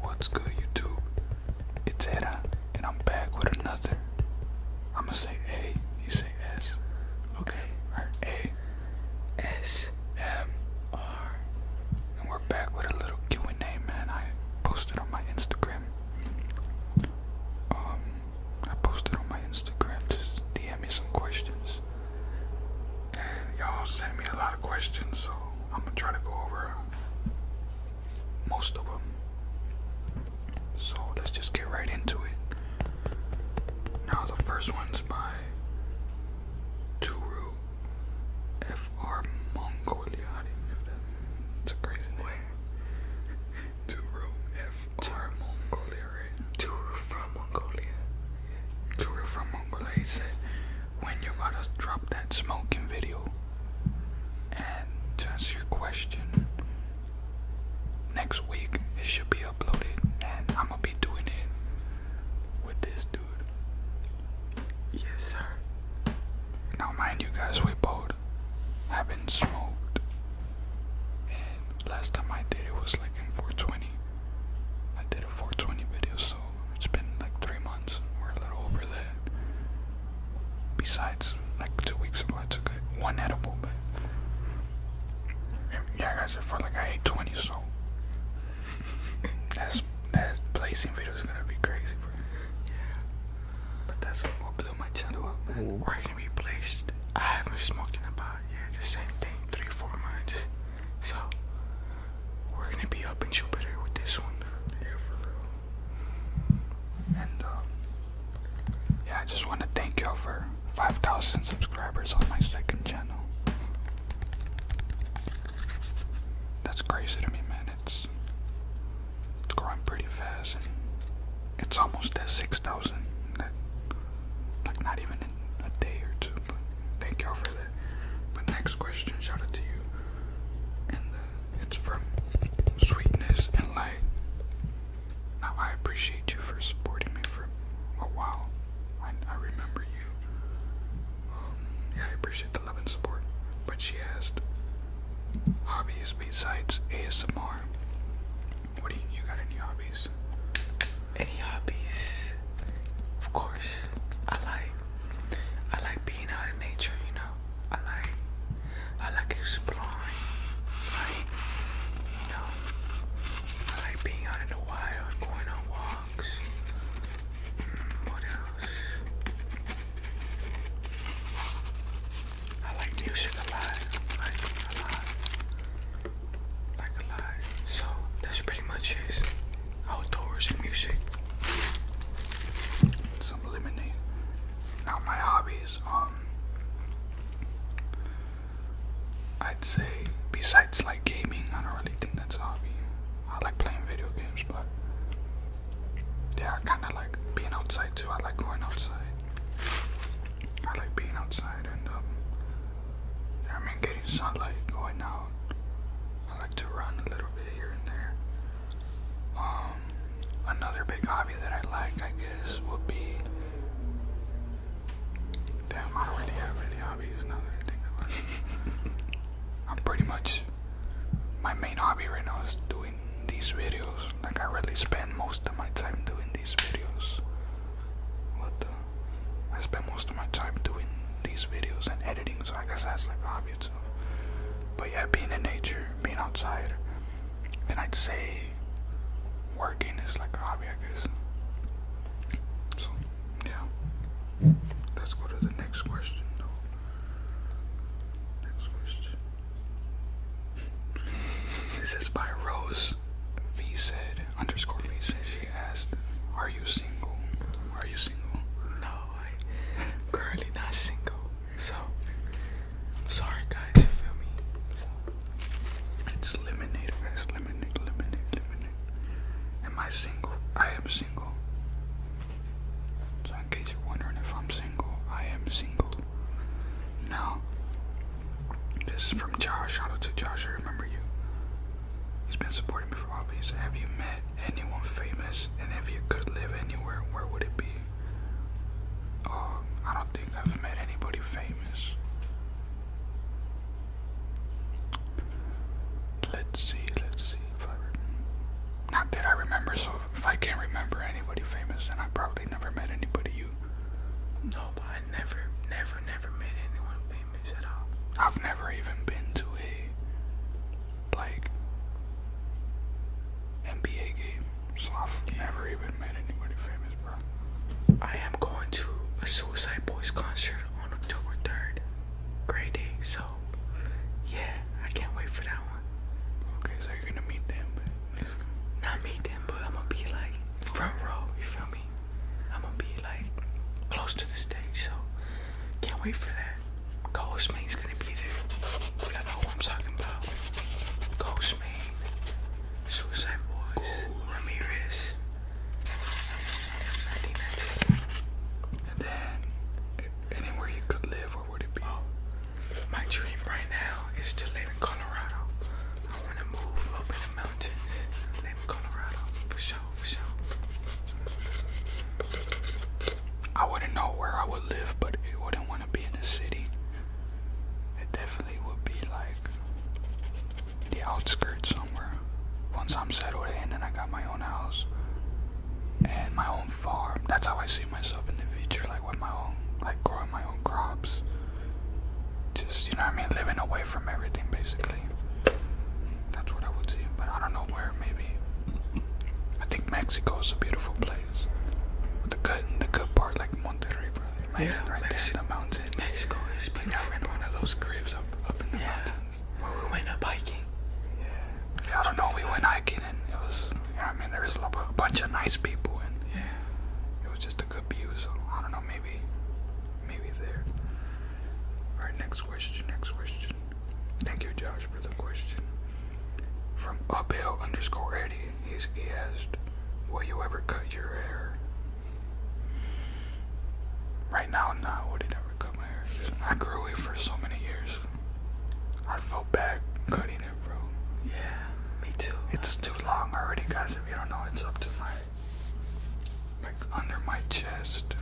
What's good YouTube? It's Hera and I'm back with another. I'ma say A, you say S. Okay. Or A S M R. And we're back with a little Q&A man. I posted on my Instagram. Um I posted on my Instagram to DM me some questions y'all sent me a lot of questions, so I'm gonna try to go over most of them. So let's just get right into it. Now, the first one's by Turu FR Mongolia. give that? It's a crazy name. Turu FR Mongolia. Turu from Mongolia. Guru from Mongolia said, When you gotta drop that smoking video. And to answer your question, next week it should be uploaded, and I'm gonna be doing it with this dude. Yes, sir. Now, mind you guys, we both have been smoked. And last time I did it was like in 420. I did a 420 video, so it's been like three months We're a little over there. Besides, like two weeks ago, I took like, one edible, but yeah, guys, I felt like I ate 20, so that's that placing video is gonna be crazy, bro. Yeah, but that's what blew my channel up, man. We're gonna be placed. I haven't smoked in about yeah the same thing three four months, so we're gonna be up in Jupiter with this one. And um, yeah, I just want to thank you for 5,000 subscribers on my second channel. That's crazy to me, man. It's it's growing pretty fast, and it's almost at 6,000. Like not even a day or two. But thank y'all for that. But next question, shout out to you. And uh, it's from Sweetness and Light. Now I appreciate you for supporting me for a while. I, remember you. Um, yeah, I appreciate the love and support. But she asked, hobbies besides ASMR. What do you, you got any hobbies? Any hobbies? Of course. I like I like being out in nature, you know. I like I like exploring. Like you know I like being out in the wild, going on walks. Mm, what else? I like music a lot. Like a lot. Like a lot. So that's pretty much it outdoors and music. Some lemonade. Now my hobbies, um I'd say besides like gaming, I don't really think that's a hobby. I like playing video games but yeah, I kinda like being outside too. I like going outside. I like being outside and um I mean getting sunlight, going out, I like to run a little bit here and there. Um, another big hobby that I like, I guess, would be. Damn, I do have any hobbies now that I think about it. I'm pretty much. My main hobby right now is doing these videos. Like, I really spend most of my time doing these videos. What the? I spend most of my time doing these videos and editing, so I guess that's like a hobby too. But yeah, being in nature, being outside, and I'd say working is like a hobby, I guess. So, yeah. Let's go to the next question, Next question. this is by Rose V said underscore V said she asked, Are you single? Are you single? No, I'm currently not single. So, I'm sorry guys, feel me? it's lemonade, guys. Lemonade, lemonade, lemonade. Am I single? I am single. So, in case you're wondering if I'm single, I am single. No. this is from Josh. Shout out to Josh. I remember you. He's been supporting me for all Have you met anyone famous? And if you could live anywhere, where would it be? Um, I don't think I've met anybody famous. Let's see, let's see if I not that I remember, so if I can't remember anybody famous, then I probably never met anybody you. No, but I never, never, never met anyone famous. I've never even been to a like NBA game, never even met anybody famous, bro. I am going to a Suicide Boys concert on October 3rd. Great day, so yeah, I can't wait for that one. Okay, so you're gonna meet them. Not meet them, but I'm gonna be like front row, you feel me? I'm gonna be like close to the stage, so can't wait for that. Ghost Main's gonna be there. Y'all know who I'm talking about. Ghost Main, Suicide Boys, Ramirez. I think that's it. And then, anywhere you could live, where would it be? Oh, my dream right now is to live in Colorado. I want to move up in the mountains, live in Colorado for sure. I wouldn't know where I would live, but it wouldn't want to be in the city. It definitely would be like the outskirts somewhere. Once I'm settled in and I got my own house and my own farm, that's how I see myself in the future, like with my own, like growing my own crops. Just, you know what I mean? Living away from everything, basically. That's what I would see, but I don't know where. Maybe I think Mexico is a beautiful place. The good, the good part, like Monterrey, yeah, right Mexico, there in the mountain. Mexico is beautiful. Like I remember one of those graves up, up in the yeah. mountains. Where we went up hiking. Yeah. I don't know. We went hiking, and it was. You I mean, there was a bunch of nice people, and yeah, it was just a good view. So I don't know. Maybe, maybe there. All right. Next question. Next question. Thank you, Josh, for the question. From uphill underscore Eddie, he's, he asked, Will you ever cut your hair? Right now, no, nah, I would never cut my hair. I grew it for so many years. I felt bad cutting it, bro. Yeah, me too. It's too long already, guys. If you don't know, it's up to my like under my chest,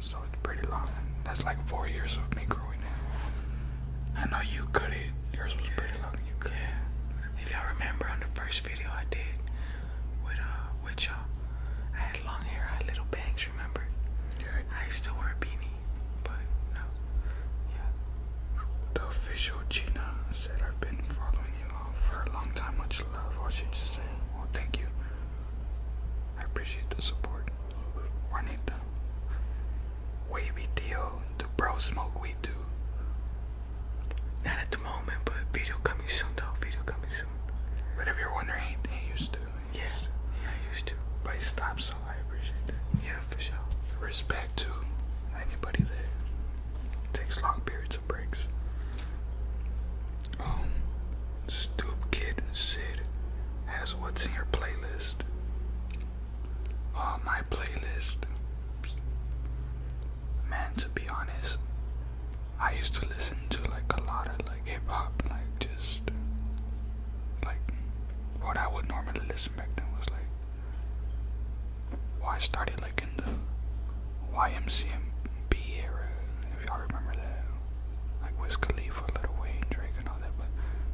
so it's pretty long. That's like four years of me growing it. I know you cut it. Yours was pretty long. You cut yeah. If y'all remember on the first video I did with uh with y'all, I had long hair. I had little bangs. Remember? Yeah. I used to wear a beanie, but no. Yeah. The official Gina said I've been following you all for a long time. Much love. Or she just said, well, thank you. I appreciate the support. Juanita. Wavy Theo, do bro smoke weed too? Not at the moment, but video coming soon though, video coming soon. But you're wondering, he, he used to. He yeah. I used to. But he so I appreciate that. Yeah, for sure. Respect to anybody that takes long periods of breaks. Um, Stoop Sid has what's in your playlist. Uh, my playlist. Man, to be honest, I used to listen to like a lot of like hip hop, like just like what I would normally listen back then was like. Why I started like in the YMCMB era, if y'all remember that like Wiz Khalifa, Little Wayne, Drake, and all that, but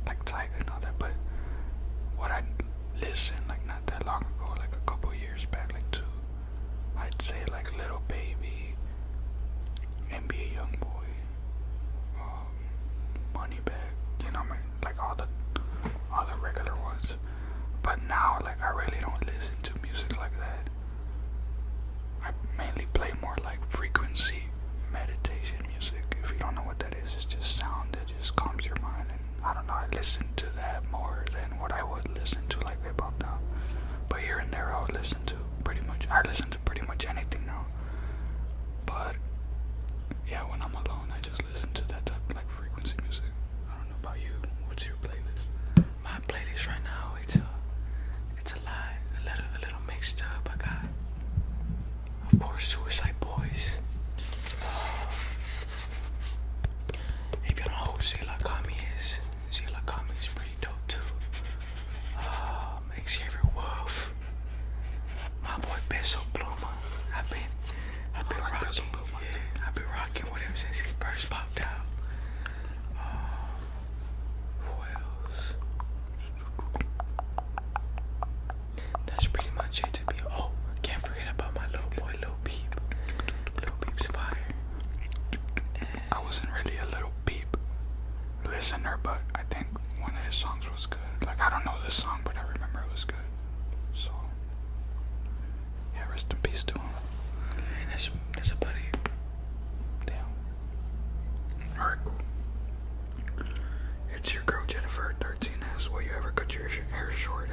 like Tiger and all that. But what I listen like not that long ago, like a couple years back, like two, I'd say like Little Baby, NBA YoungBoy, um, Money Bag, you know, I mean, like all the all the regular ones. But now, like I really don't listen to music like that. I mainly play more like frequency meditation music. If you don't know what that is, it's just sound that just calms your mind. And I don't know, I listen to that more than what I would listen to like hip hop now. But here and there, I would listen to pretty much. I listen to pretty much anything now. But yeah, when I'm alone, I just listen to that type like frequency music. I don't know about you. What's your playlist? my playlist right now it's a it's a little a little mixed up. I got of course Suicide Boys. Uh, if you don't know who Zila Kami is, Zila Kami is pretty dope too. Uh, Xavier Wolf, my boy Peso Pluma. I've been I've been rocking, yeah, I've been rocking with since he first popped out. Um, who That's pretty much it Oh, can't forget about my little boy, little Peep. Little Peep's fire. I wasn't really a little peep listener, but I think one of his songs was good. Like, I don't know this song, but I remember it was good. So, yeah, rest in peace to him. that's, that's about it. Damn. Alright, cool. It's your girl Jennifer 13 asks, Will you ever cut your hair short?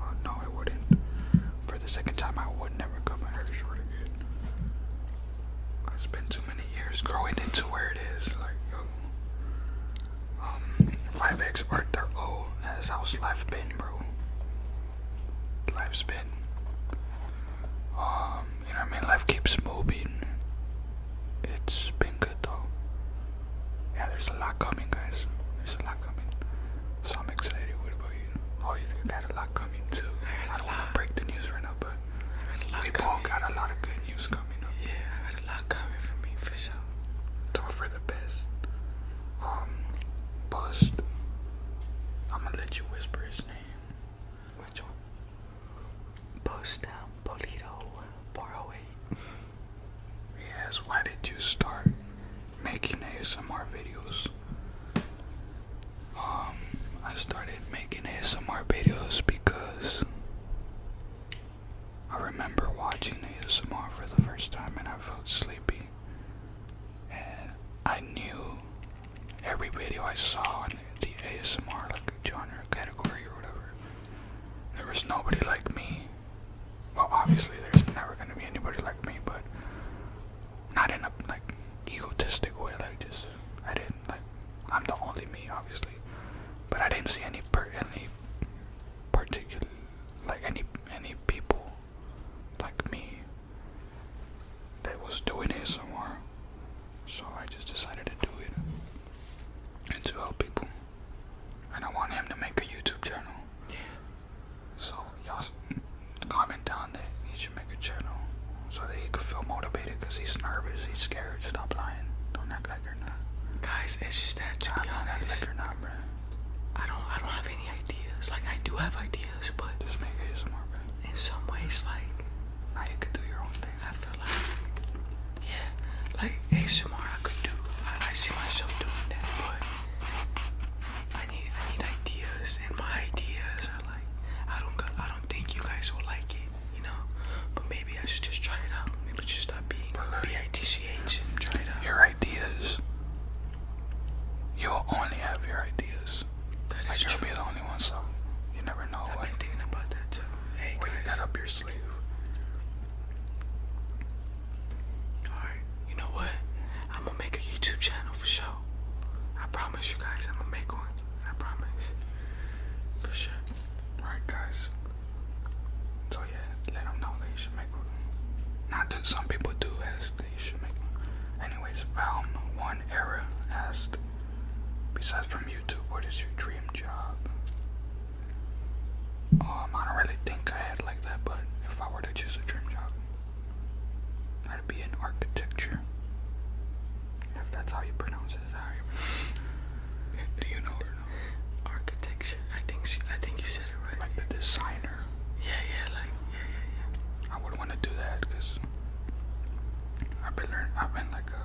Uh, no, I wouldn't. For the second time, I would never cut my hair short again. I spent too many years growing into where it is. Like, yo. Um, 5x or 30 That's how's life been, bro. Life's been. Um, you know I mean? Life keeps moving. It's been good though. Yeah, there's a lot coming, guys. There's a lot coming. So I'm excited. What about you? Oh, you got a lot coming too. I, don't want to break the news right now, but we all got a lot of good news coming Yeah, I got a lot coming for me for sure. for the best. Um, bust. I'm gonna let you whisper his name which Post down Polito 408. yes, why did you start making ASMR videos? Um, I started making ASMR videos because I remember watching ASMR for the first time and I felt sleepy. And I knew every video I saw in the ASMR like genre category or whatever, there was nobody like me. Well, obviously there's never gonna be anybody like me, but not in a like egotistic way. Like just I didn't like I'm the only me, obviously, but I didn't see any per any particular like any any people like me that was doing ASMR. So I just decided to do it and to help people. And I want him to make a YouTube channel. So y'all comment down that he should make a channel so that he can feel motivated because he's nervous, he's scared. Stop lying. Don't act like you're not. Guys, it's just that to be do like you're not, bro. I don't I don't have any ideas. Like I do have ideas, but just make ASMR, bro. In some ways, like now you can do your own thing. I feel like, yeah, like ASMR I could do. I see myself doing that, but I need I need ideas, and my ideas are like I don't I don't think you guys will like it, you know. But maybe I should just try it out. Maybe just stop being B I T C H and try it out. Your ideas. You'll only have your ideas. That is like, true. you'll be the only one, so you never know I've what, been thinking about that too. Hey, what guys. you got up your sleeve. Alright, you know what? I'm gonna make a YouTube channel for sure. I promise you guys, I'm gonna make one. I promise. For sure. Alright, guys. So, yeah, let them know that you should make one. Not that some people do, as they should make one. Anyways, Valm One Era asked, Besides from YouTube, what is your dream job? Um, I don't really think I had like that, but if I were to choose a dream job, I'd be in architecture. If that's how you pronounce it? Do you know Architecture. I think I think you said it right. Like the designer. Yeah, yeah, like yeah, yeah, yeah. I would want to do that because I've been learning. I've been like a.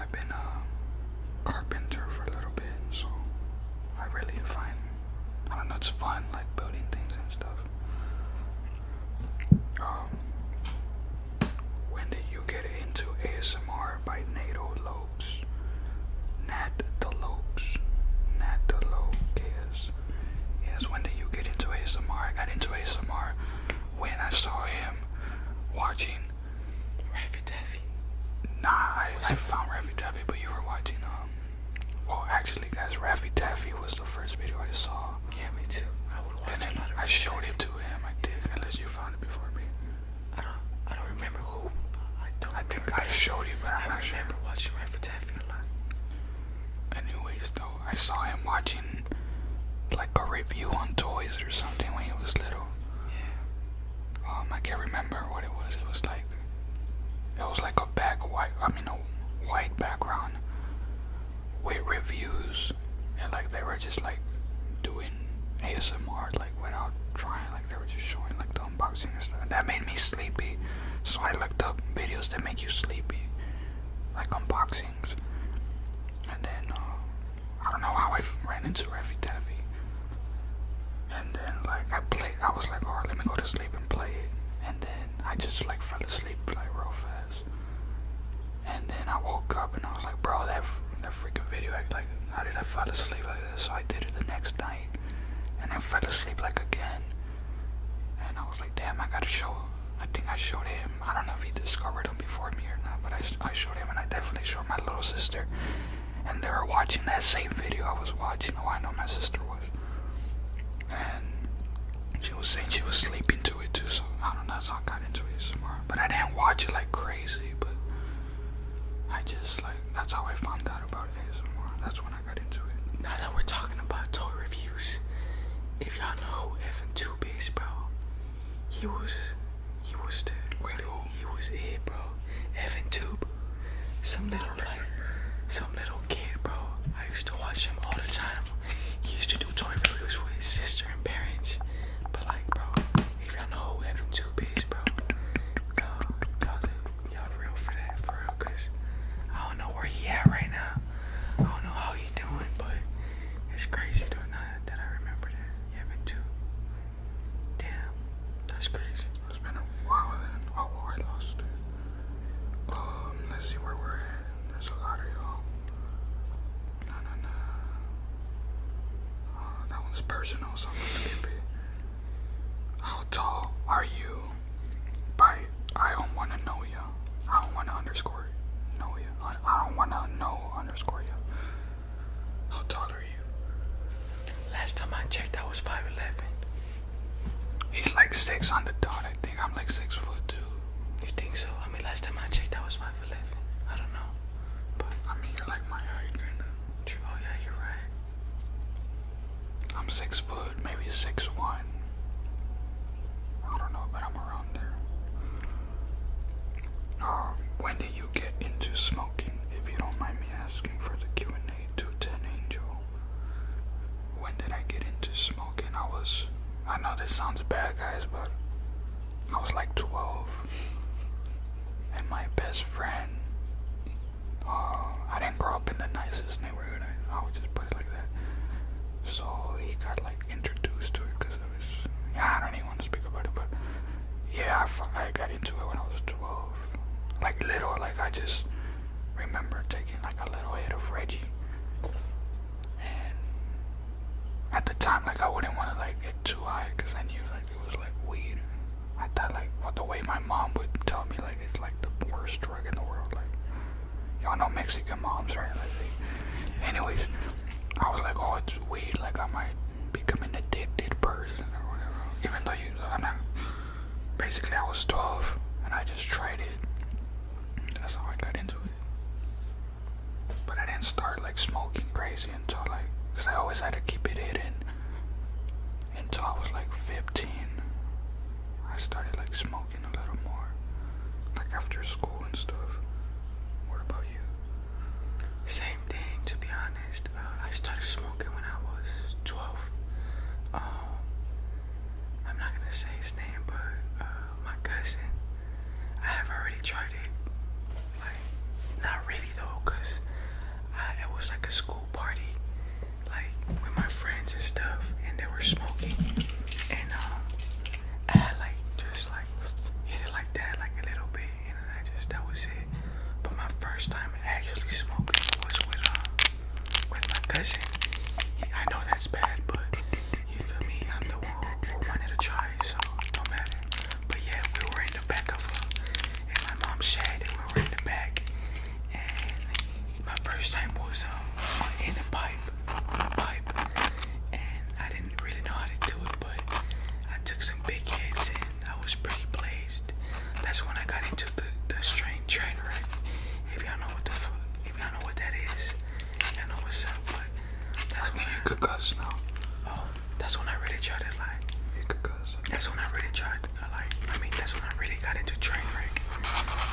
I've been a carpenter for a little bit, so I really find. I don't know. It's fun, like building things and stuff. Um, when did you get into ASMR by Nato Lopes? Nat the Lopes. Nat the Lope. Yes. Yes, when did you get into ASMR? I got into ASMR when I saw him watching Raffy Taffy. Nah, I, found Raffy Taffy, but you were watching, um, well, actually, guys, Raffy Taffy was the first video I saw. Yeah, me too. I showed it to him, I did, unless you found it before me. I don't, I don't remember who. I think I showed you, but I'm I not remember watching Raffy Taffy a lot. Anyways, stole. I saw him watching like a review on toys or something when he was little. Um, I can't remember what it was. It was like it was like a back white. I mean a white background with reviews and like they were just like doing ASMR like without trying. Like they were just showing like the unboxing and stuff. that made me sleepy. So I looked up videos that make you sleepy like unboxings. And then uh, I don't know how I ran into Raffy Taffy. And then like I played, I was like, "All right, let me go to sleep and play it. And then I just like fell asleep like real fast. And then I woke up and I was like, bro, that that freaking video, like, how did I fall asleep like this? So I did it the next night, and I fell asleep like again. And I was like, damn, I gotta show I think I showed him. I don't know if he discovered him before me or not, but I, I showed him, and I definitely showed my little sister. And they were watching that same video I was watching. Oh, I know my sister was. And she was saying she was sleeping to it too, so I don't know. how I got into it But I didn't watch it like crazy, but I just like that's how I found out about it. That's when I got into it. Now that we're talking about toy review. If y'all know Evan Tube bro, he was he was the really he was it, bro. Evan Tube, some little like some little kid, bro. I used to watch him all the time. He used to do toy reviews for his sister and parents. But like, bro, if y'all know who Evan Tube is, bro, y'all y'all real for that, for real, cause I don't know where he at right now. I don't know how he doing, but it's crazy though now that I remember that. Yeah, been two. Damn, that's crazy. It's been a while then. Oh, I lost it. Um, let's see where we're at. There's a lot of y'all. No, no, no. that one's personal, so I'm gonna skip it. How tall are you? By I don't wanna know you. I don't wanna underscore know ya. I, don't wanna know underscore ya. How tall are you? Last time I checked, I was five eleven. He's like six on the dot. I think I'm like six foot two. You think so? I mean, last time I checked, I was five eleven. I don't know, but I mean, you're like my height, kinda. Oh yeah, you're right. I'm six foot, maybe six one. I don't know, but I'm around there. Um, when did you get into smoking? If you don't mind me asking for the Q and A, two ten angel. When did I get into smoking? I was. I know this sounds bad, guys, but I was like 12, and my best friend. Uh, I didn't grow up in the nicest I, would just put like that. So he got like introduced to it because of his. I don't even want to speak about it, but yeah, I, got into it when I was 12. Like little, like I just remember taking like a little hit of Reggie. And at the time, like I wouldn't want to like get too high because I knew like it was like weed. I thought like the way my mom would tell me like it's like the worst worst y'all know Mexican moms, right? anyways, I was like, oh, it's weed. Like, I might be an addicted person or whatever. Even though you, I'm not. Basically, I was 12 and I just tried it. That's how I got into it. But I didn't start like smoking crazy until like, cause I always had to keep it hidden until I was like 15. I started like smoking talking more, like after school and stuff. What about you? Same thing, to be honest. Uh, I started smoking when I was 12. Um, I'm not gonna say his name, but uh, my cousin, I have already tried it. Like, not really though, it was like a school party, like with my friends and stuff, and they were smoking, and um, add like just like hit it like that, like a little bit, and then I just that was it. But my first time actually smoking was with uh, with my cousin. I know that's bad, but you feel me? I'm the one who wanted to try, so don't matter. But yeah, we were in the back of a, and my mom's shed, and we were in the back, my first time was um, in a pipe, pipe, and I didn't really know how to do it, but I took some big hits and I was pretty blazed. That's when I got into the the strain train wreck. If y'all know what the if y'all know what that is, y'all know what's that's when you could cuss now. Oh, that's when I really tried to like. That's when I really tried. Like, I mean, that's when I really got into train wreck.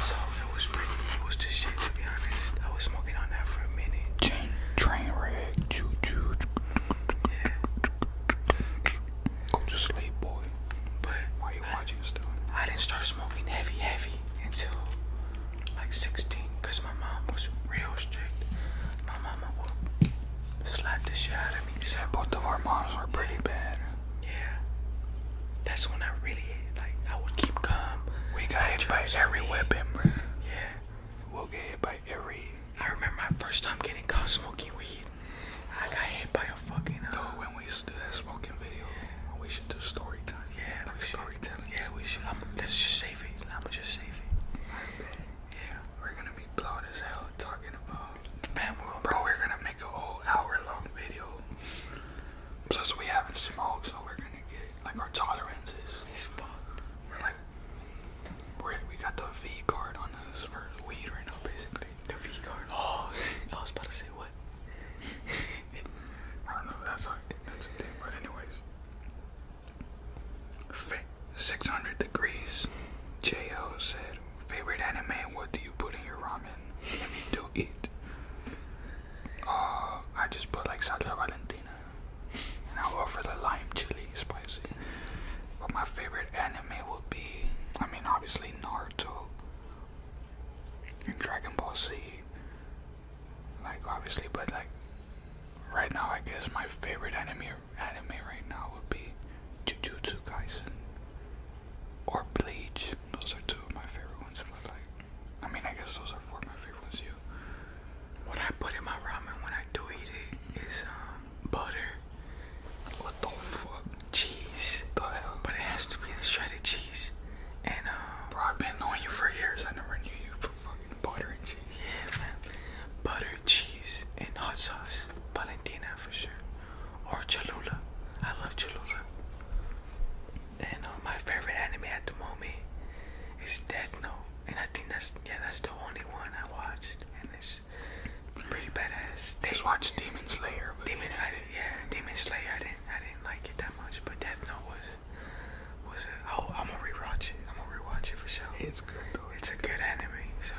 So it was pretty. It was just shit to be honest. I was smoking on that for a minute. Train, wreck, choo to sleep, boy. But why you I, watching stuff? I didn't start smoking heavy, heavy until like 16, cause my mom was real strict. My mama would slap the shit out of me. You both of our moms were pretty bad. Yeah that's when I really like I would keep calm. We got hit by every weapon, Yeah. We'll get hit by every. I remember my first time getting caught smoking weed. I got hit by a fucking. Uh, Dude, when we do that smoking video, we should do story time. Yeah, like we Yeah, we should. I'm, let's just save it. I'ma just save it. Yeah. We're gonna be blown as hell talking about. Man, bro, we're gonna make a whole hour long video Plus, we haven't smoked, so we're gonna get like our tolerances. We're like, we're, we got the V card on us for weed right now, basically. The V card. Oh, I was about to say what? I don't know. That's a that's a thing, but anyways. Six hundred degrees. Jo said, favorite anime. What do you put in your ramen? If you do eat. Uh, I just put like salsa valentina, and I go for the lime chili spicy. But my favorite anime would be, I mean, obviously Naruto and Dragon Ball Z. Like obviously, but like right now, I guess my favorite anime anime right now would be Jujutsu Kaisen or Bleach. Those are two of my favorite ones. I mean, I guess those are four of my favorite ones too. What I put in my ramen when I do eat it is um, butter. What the fuck? Cheese. The hell? But it has to be the shredded cheese. And, um, Bro, I've been knowing you for years. I never knew you for fucking butter and cheese. Yeah, man. Butter, cheese, and hot sauce. Valentina for sure. Or Cholula. I love Cholula. And uh, my favorite anime at the moment is Death Note, and I think that's yeah that's the only one I watched, and it's pretty badass. They, Just watch Demon Slayer. Demon, I, yeah, Demon Slayer. I didn't I didn't like it that much, but Death Note was was a, oh I'm gonna rewatch it. I'm gonna rewatch it for sure. It's good though. It's, a good, anime, so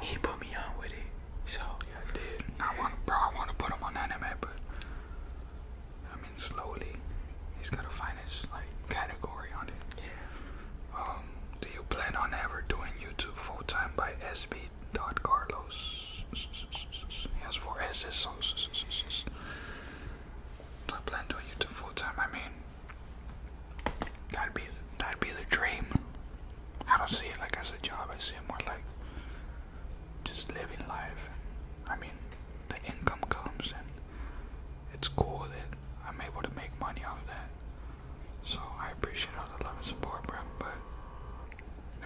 he put me on with it, so yeah, I did. I want bro, I want to put him on anime, but I mean, slowly, he's gotta find his like category on it. Yeah. Um, do you plan on ever doing YouTube full time by SB dot Carlos? Yes, for four S's. do I plan doing YouTube full time? I mean, that'd be that'd be the dream. I don't see it like as a job. I see it more like just living life. I mean, the income comes and it's cool that I'm able to make money off that. So I appreciate all the love and support, bro. But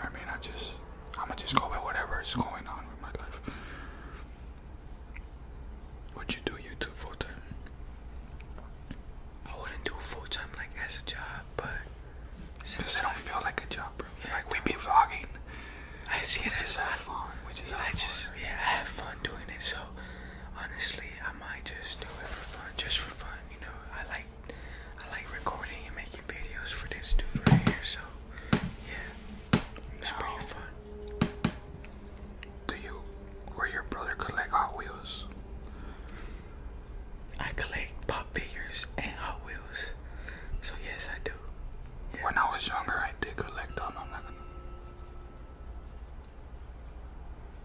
I mean, I just I'ma just go with whatever is going on with my life. What you do YouTube full time? I wouldn't do full time like as a job, but since I don't feel like a job, bro. like we be vlogging. I see it as a fun, which is I just yeah, I have fun doing it. So honestly, I might just do it for fun, just for fun. You know, I like I like recording and making videos for this dude right here. So yeah, it's no. fun. Do you or your brother collect Hot Wheels? I collect pop figures and Hot Wheels. So yes, I do. When I was younger, I did collect them. i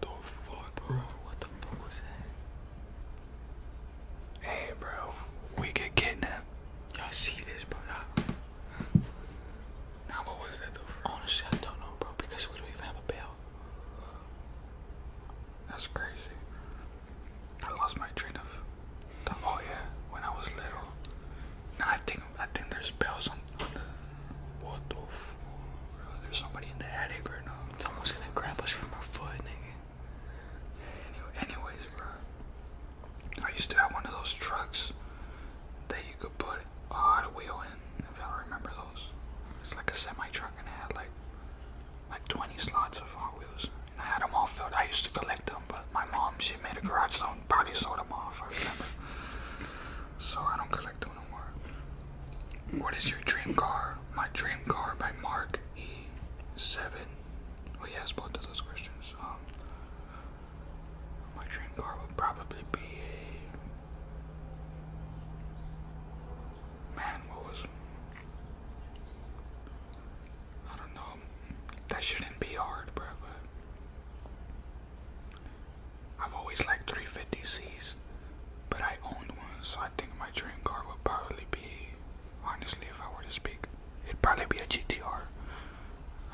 The fuck, bro? What the fuck was that? Hey, bro, we get kidnapped. Y'all see this, bro? Now, what was that Honestly, I don't know, bro, because we don't even have a bell. That's crazy. I lost my train of thought. Oh, yeah, when I was little. Now I think I think there's bells on, the what the there's somebody in the attic right now. It's almost gonna grab us from our foot, nigga. Any, anyways, bro. I used to have one of those trucks that you could put a Hot Wheel in, if y'all remember those. It's like a semi truck and it had like like 20 slots of Hot Wheels. I had them all filled. I used to collect them, but my mom, she made a garage sale and probably sold them off, So I don't collect them anymore. What is your dream car? My dream car by Mark E7. Well, he has both of those questions. Um, my dream car would probably be a... Man, what was... I don't know. That shouldn't be hard, bro. I've always liked 350Cs, but I own one, so I think my dream car would probably be, honestly, if I were to speak, it'd probably be a GTR.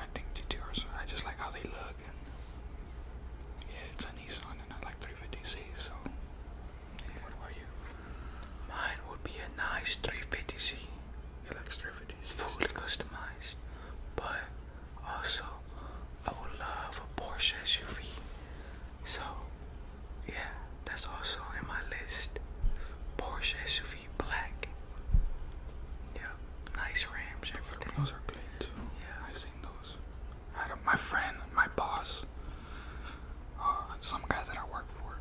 I think GTRs, I just like how they look, and yeah, it's a Nissan, and I like 350Cs, so what about you? Mine would be a nice 350C. He likes 350s. Fully customized. But also, I would love a Porsche SUV. So, yeah, that's also in my list. Porsche SUV black. Yeah, nice rims. Everything. Those are clean too. Yeah, I've seen those. had a, my friend, my boss, uh, some guy that I work for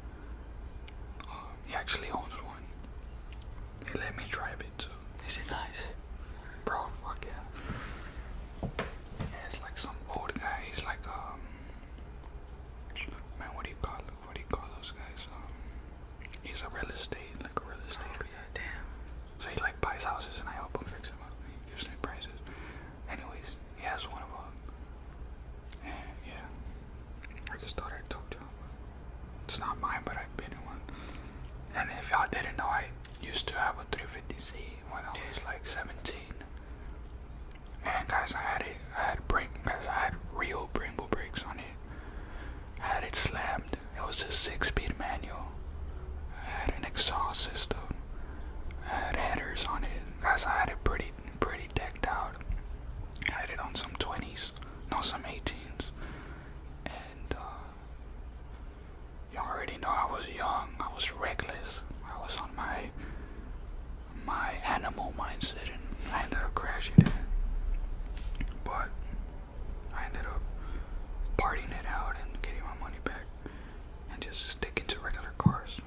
he actually owns one. He let me drive it too. Is it nice? Bro, fuck yeah. Yeah, it's like some old guy. He's like, um, man, what do you call What do you call those guys? Um, he's a real estate, like a real estate. Oh, yeah, damn. So he like buys houses and I help him fix them up. He gives me prices. Anyways, he has one of them. And yeah, I just thought I told y'all. It's not mine, but I've been in one. And if y'all didn't know, I used to have a 350C when I was like 17. And guys, I had it. I had brake, guys. I had real Brembo brakes on it. I had it slammed. It was a six-speed manual. I had an exhaust system. I had headers on it. Guys, I had it pretty, pretty decked out. I had it on some 20s, no, some 18s, and uh, you already know I was young, I was reckless, I was on my my animal mindset, and I ended up crashing it. But I ended up partying it out and getting my money back, and just sticking to regular cars.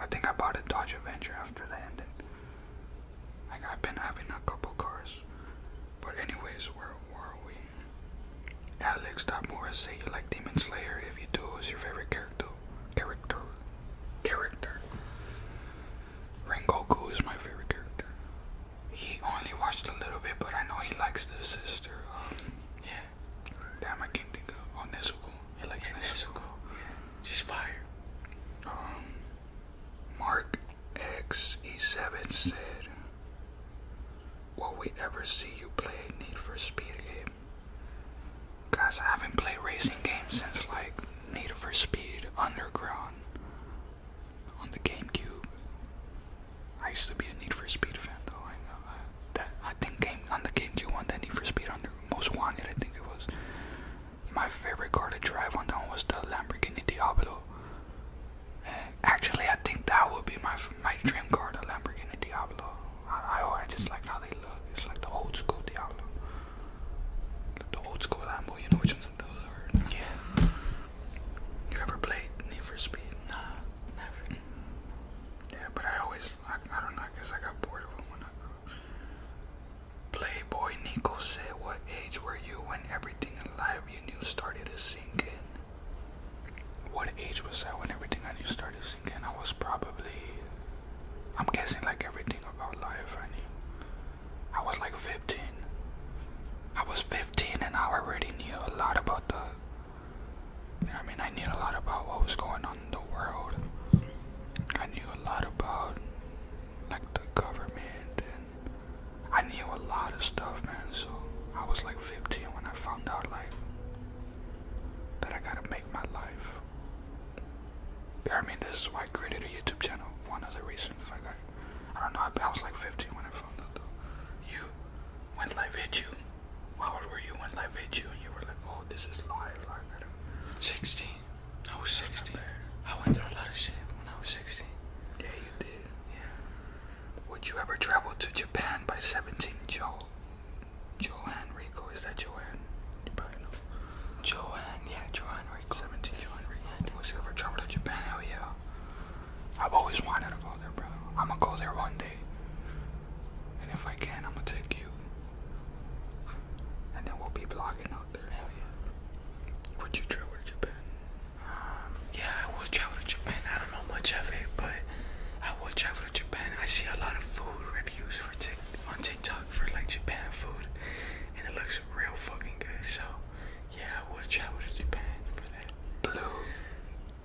I think I bought a Dodge Avenger after that, and like I've been having a couple cars. But anyways, where were we? Alex dot Morris say you like Demon Slayer. If you do, is your favorite character? Character. Character. Rengoku is my favorite character. He only watched a little bit, but I know he likes the sister. Um, yeah. Damn, I can't think of. Oh, He likes yeah, Yeah. She's fire. Um, Mark XE7 said, Will we ever see you play Need for Speed game? Cause I haven't played racing games since like Need for Speed Underground on the GameCube. I used to be a Need for Speed fan though. I think game on the GameCube one, that Need for Speed Under Most Wanted, I think it was. My favorite car to drive on them was the Lamborghini Diablo. Uh, actually, I think that would be my my dream car, the Lamborghini Diablo. I, I, I just like how they look. It's like the old school Diablo. The old school Lambo, you know which ones those are. Yeah. You ever played Need for Speed? Nah, never. Yeah, but I always, I, I don't know, I guess I got bored of them when I grew up. Playboy Nico said, What age were you when everything in life you knew started to sink in? What age was I when everything I knew started sinking? I was probably, I'm guessing, like everything about life I knew. I was like 15. I was 15 and I already knew a lot about the I mean, I knew a lot about what was going on in the world. I knew a lot about like the government and I knew a lot of stuff man so I was like 15 when I found out like that I gotta make my life. I mean this is why I created a YouTube channel. One of the reasons like I I don't know I, I was like 15 when I found out though. You when life hit you. How old were you when life hit you and you were like oh this is life like 16 I was That's 16. I went through a lot of shit when I was 16. Yeah, you did. Yeah. Would you ever travel to Japan by 17? Joe. Joanne Rico. Is that Joanne? You probably know. Joanne, yeah, Joanne Rico. 17 Joanne Rico. Would you ever travel to Japan? Hell yeah. I've always wanted to go there, bro. I'm gonna go there one day. And if I can, I'm gonna take you. And then we'll be blogging would you travel to Japan? Um, yeah, I would travel to Japan. I don't know much of it, but I would travel to Japan. I see a lot of food reviews for tick on TikTok for like Japan food, and it looks real fucking good. So, yeah, I would travel to Japan for that. Blue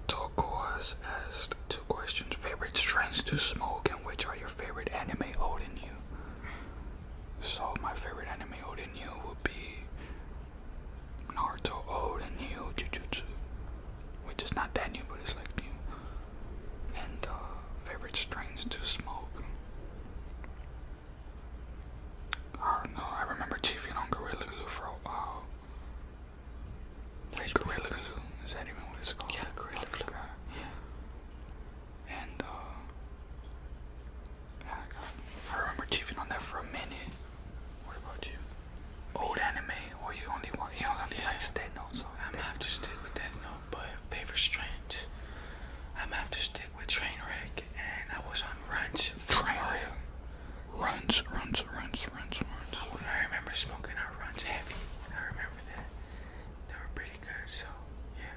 Tokuas asked two questions: favorite strengths to smoke, and which are your favorite anime holding you? Mm. So my favorite anime Odin Yu would be Naruto Odin Yu Jujutsu, which is not that new, but it's like new. And uh, favorite strains to smoke. I do I remember chiefing on Gorilla for a while. Like Gorilla Is that even what it's called? Yeah, Gorilla Yeah. And uh, I, remember chiefing on that for a minute. What about you? Old anime, or you only want you only yeah. like Death Note? So I'm have to stick with Death Note, but favorite strength. I'm have to stick with Trainwreck, and I was on runs. Runs, runs, runs, runs, runs. Oh, I remember smoking our runs heavy. I remember that. They were pretty good, so yeah.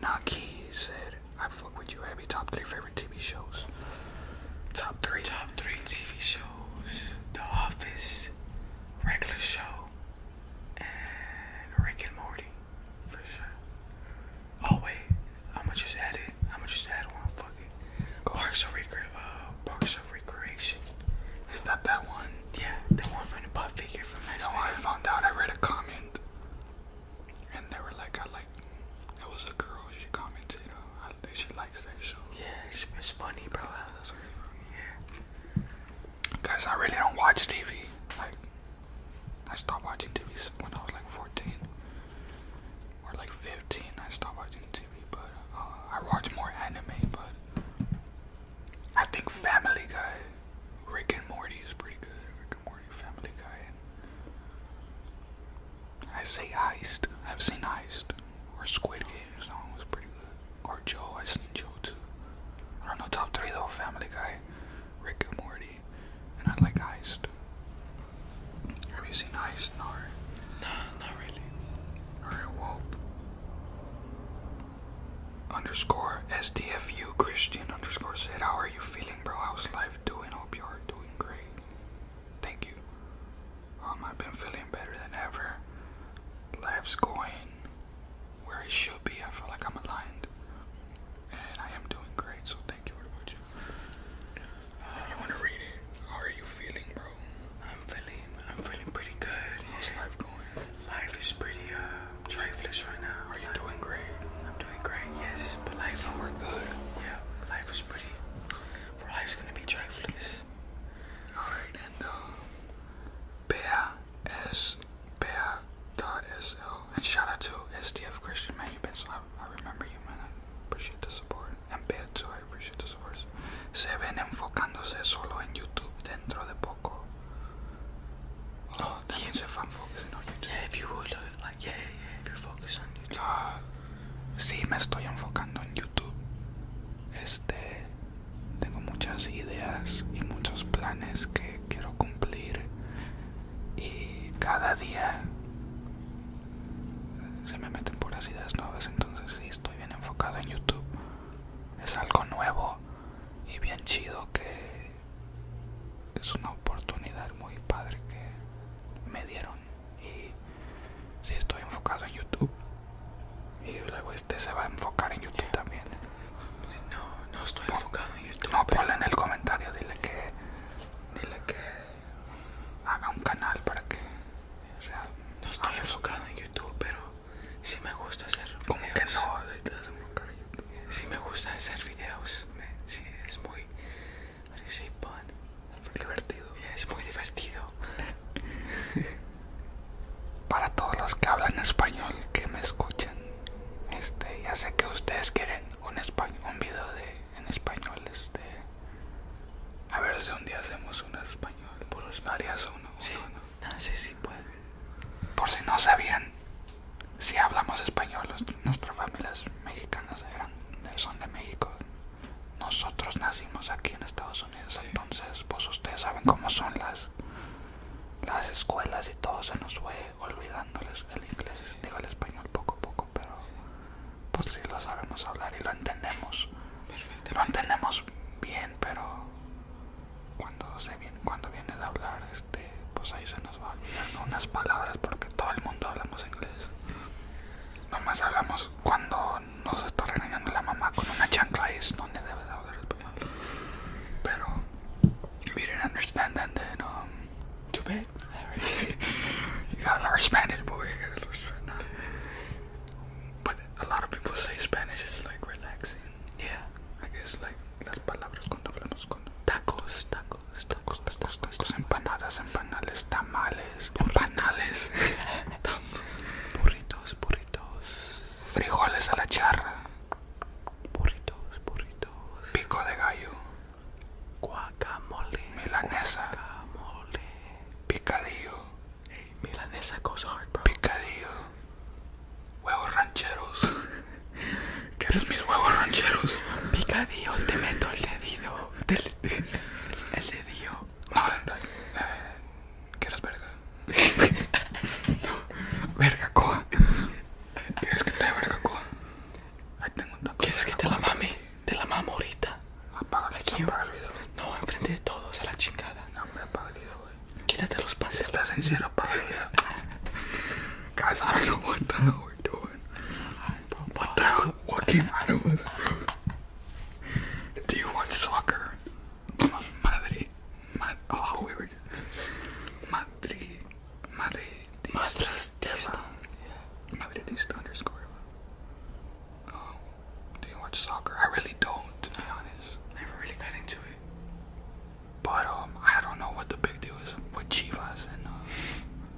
Branch was said, I fuck with you, Abby. Top three favorite TV shows. Top three. Top three TV shows. The Office, Regular Show, and Rick and Morty. For sure. Oh, wait. I'm gonna just add it. I'm gonna just add one. Fuck it. Parks and Recre- uh, Recreation. Is that that one? Yeah, the one from figure from last No, I found out. I read a comment, and they were like, "I like." That was a girl. She commented, uh, "She likes that show." Yeah, it's, it's funny, bro. yeah. Guys, I really don't watch TV. Like, I stopped watching TV when I was like 14 or like 15. I stopped watching TV. TV, but uh, I watch more anime. But I think Family Guy, Rick and Morty is pretty good. Rick and Morty, Family Guy. And I say Heist. I've seen Heist or Squid Games. That one was pretty good. Or Joe. I've seen Joe too. I don't know. Top three though: Family Guy, Rick and Morty, and I like Heist. Have you seen Heist? No. No, not really. Alright, well, underscore SDFU Christian underscore said, How are you feeling, bro? How's life doing? Hope you are doing great. Thank you. Um, I've been feeling better than ever. Life's going where it should be. I feel like I'm aligned. And I am doing great, so thank you very much. you want to read it, how are you feeling, bro? I'm feeling I'm feeling pretty good. How's life going? Life is pretty uh trifless right now. Are you life, doing great? I'm doing great, yes. But life so we're good. Yeah, life is pretty life's gonna be trifless. Alright, and um Bea S Bea dot SL. And shout out to SDF Christian, man. You've been so I, I remember you man. I appreciate the support. And Bea Se ven enfocándose solo en YouTube dentro de poco. Si oh, se va a enfocar en YouTube. sí, me estoy enfocando en YouTube. Este, tengo muchas ideas y muchos planes que quiero cumplir. Y cada día se me meten puras ideas nuevas, entonces sí, estoy bien enfocado en YouTube es algo nuevo y bien chido que es una oportunidad muy padre que me dieron y si estoy enfocado en YouTube y luego este se va a enfocar en YouTube también no no estoy enfocado en YouTube no ponle en el comentario dile que dile que haga un canal para que sea, no estoy enfocado en YouTube pero si me gusta hacer videos. Como que me gusta hacer videos. es muy... Divertido. Es muy divertido. Para todos los que hablan español, que me escuchan, este, ya sé que ustedes quieren un, español, un video de, en español, este... A ver si un día hacemos un español. Por los uno. uno no sé si puede. Por si no sabían, si hablamos español, nuestras familias mexicanas eran, son de México. Nosotros nacimos aquí en Estados Unidos, entonces pues ustedes saben cómo son las, las escuelas y todo se nos fue olvidando el inglés, digo el español poco a poco, pero pues si lo sabemos hablar y lo entendemos. Perfecto. Lo entendemos bien, pero cuando se viene, cuando viene de hablar este pues ahí se nos va olvidando unas palabras porque todo el mundo hablamos inglés nomás hablamos cuando nos está regañando la mamá con una chancla es donde debe de hablar español pero we didn't understand then um too you gotta boy But a lot of people say Spanish is like relaxing. Yeah. I guess like las palabras cuando hablamos con tacos, tacos, tacos, tacos, tacos, empanadas, empanales, tamales, empanales, burritos, burritos, frijoles a la charra, burritos, burritos, pico de gallo, guacamole, milanesa, picadillo. Hey, milanesa cosa hard, bro. Picadillo. Huevos rancheros. ¿Quieres mis huevos rancheros? Picadillo, te meto el dedo. el dedo. Eh, eh, ¿Quieres verga? no, verga, coa. ¿Quieres que te verga, coa? Ahí tengo un taco. ¿Quieres que te la mame? Te la mamo ahorita. Apaga, quién apaga el video. No, enfrente de todos, a la chingada. No, me apaga el video, güey. Guys, I don't know what the hell we're doing. What the hell? What came I do us, bro? Do you watch soccer? Madrid. Mad oh, we were just. Madrid. Madridista. Madridista underscore. Oh, do you watch soccer? I really don't, to be honest. Never really got into it. But um, I don't know what the big deal is with Chivas and uh,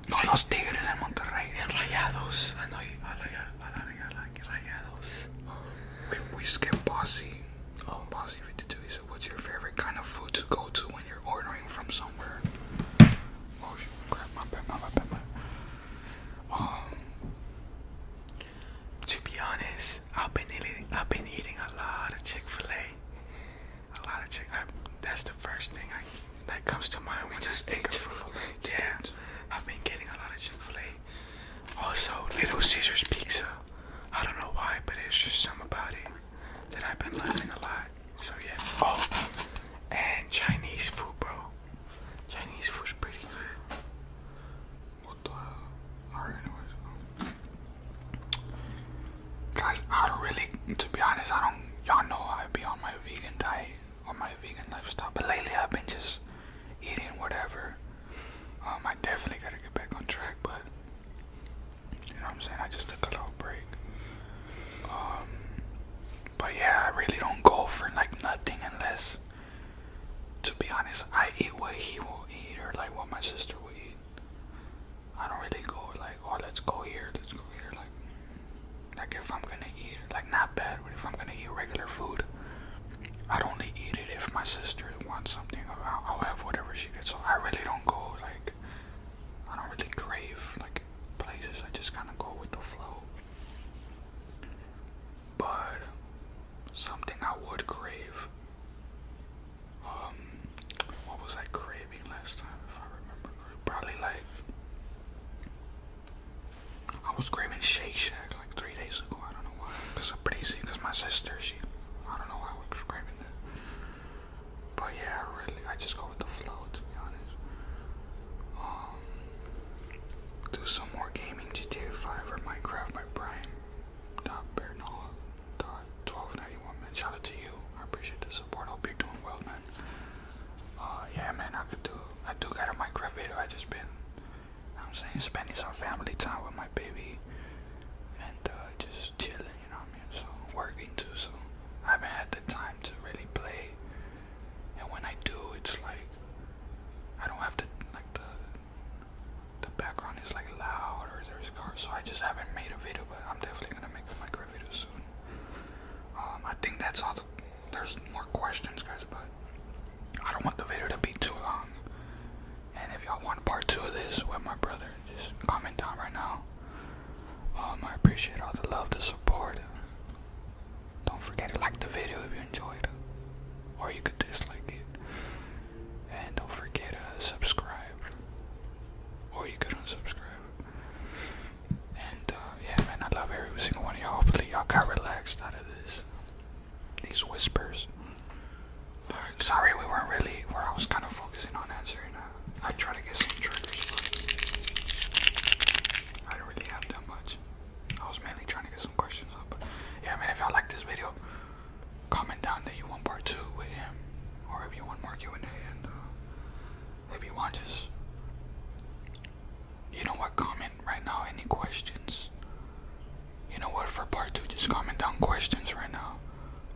no, los Tigres en Monterrey. And Rayados. I know you. Rayados. we, we skip Bossy. Oh, Bossy 52. He "What's your favorite kind of food to go to when you're ordering from somewhere?" Oh shit! My bad. My bad. My um, to be honest, I've been eating. I've been eating a lot of Chick-fil-A. A lot of Chick. that's the first thing that comes to mind when Just eat think of food. Yeah, I've been getting a lot of Chick-fil-A. Also, Little Caesar's Pizza. I don't know why, but it's just something about it that I've been loving a lot. So yeah. Oh, and Chinese food, bro. Chinese food's pretty good. What the Alright, anyways. Um, guys, I don't really, to be honest, I don't, y'all know I'd be on my vegan diet, or my vegan lifestyle, but lately I've been just eating whatever. Um, I definitely gotta get back on track, but, you know what I'm saying, I just took a little break. Um, but yeah, I really don't go for like nothing unless to be honest, I eat what he will eat or like what my sister will eat. I don't really go like, oh, let's go here, let's go here. Like, like if I'm gonna eat, like not bad, but if I'm gonna eat regular food, I'd only eat it if my sister wants something. I'll, I'll have whatever she gets. So I really don't go like, I don't really crave like places. I just kind of go with the flow. But something I would crave. Um, what was I craving last time? If I remember, probably like I was craving Shake Shack like three days ago. I don't know why. Cause I'm Cause my sister, she, I don't know why I was craving that. But yeah, really, I just go with the flow to be honest. Um, do some more gaming, GTA 5 or Minecraft by Brian. Dot Bernal, dot 1291, man. Shout out to you. I appreciate the support. Hope you're doing well, man. Uh, yeah, man, I could do, I do got a micro video. I just been, I'm saying, spending some family time with my baby and uh, just chilling, you know So, working too, so I haven't had the time to really play. And when I do, it's like, I don't have the, like, the, the background is like loud or there's cars. So I just haven't made a video, but I'm definitely gonna make a micro video soon. Um, I think that's all. The, there's more questions, guys, but I don't want the video to be too long. And if y'all want part two of this with my brother, just comment down right now. Um, I appreciate all the love, the support. Don't forget to like the video if you enjoyed, or you could dislike it. And don't forget to subscribe. Or you could unsubscribe. And uh, yeah, man, I love every single one of y'all. Hopefully, y'all got relaxed out of this. These whispers. sorry we weren't really where I was kind of focusing on answering. Uh, I try to get some triggers, but I do not really have that much. I was mainly trying to get some questions up. But yeah, man, if y'all like this video, comment down that you want part two with him, or if you want more Q&A, and uh, you want just, you know what, comment right now, any questions. You know what, for part two, just comment down questions right now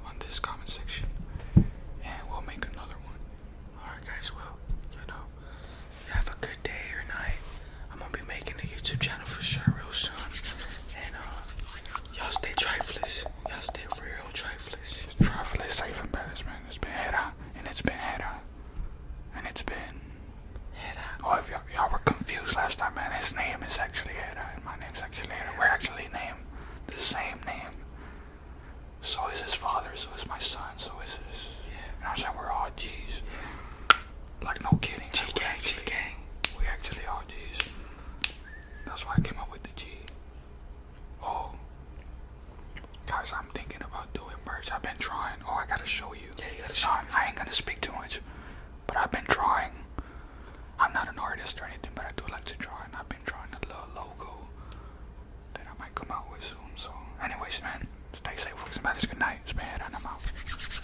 on this comment section, and we'll make another one. Alright guys, well, you know, have a good day or night. I'm gonna be making a YouTube channel for sure real soon. And uh, y'all stay trifless. Y'all stay real trifless. trifless safe and man. It's been head and it's been head and it's been head Oh, if y'all were confused last time, man, his name is actually head and my name's actually head We're actually named the same name. So is his father, so is my son, so is his. Yeah. And i said we're all G's. Like no kidding. G We actually are G's. That's why I came up with the G. Oh, guys, I'm thinking about doing merch. I've been trying. Oh, I gotta show you. Yeah, you gotta show. No, I ain't gonna speak too much, but I've been trying. I'm not an artist or anything, but I do like to draw, and I've been drawing a little logo that I might come out with soon. So, anyways, man, stay safe, folks, and Good night. Spade, and I'm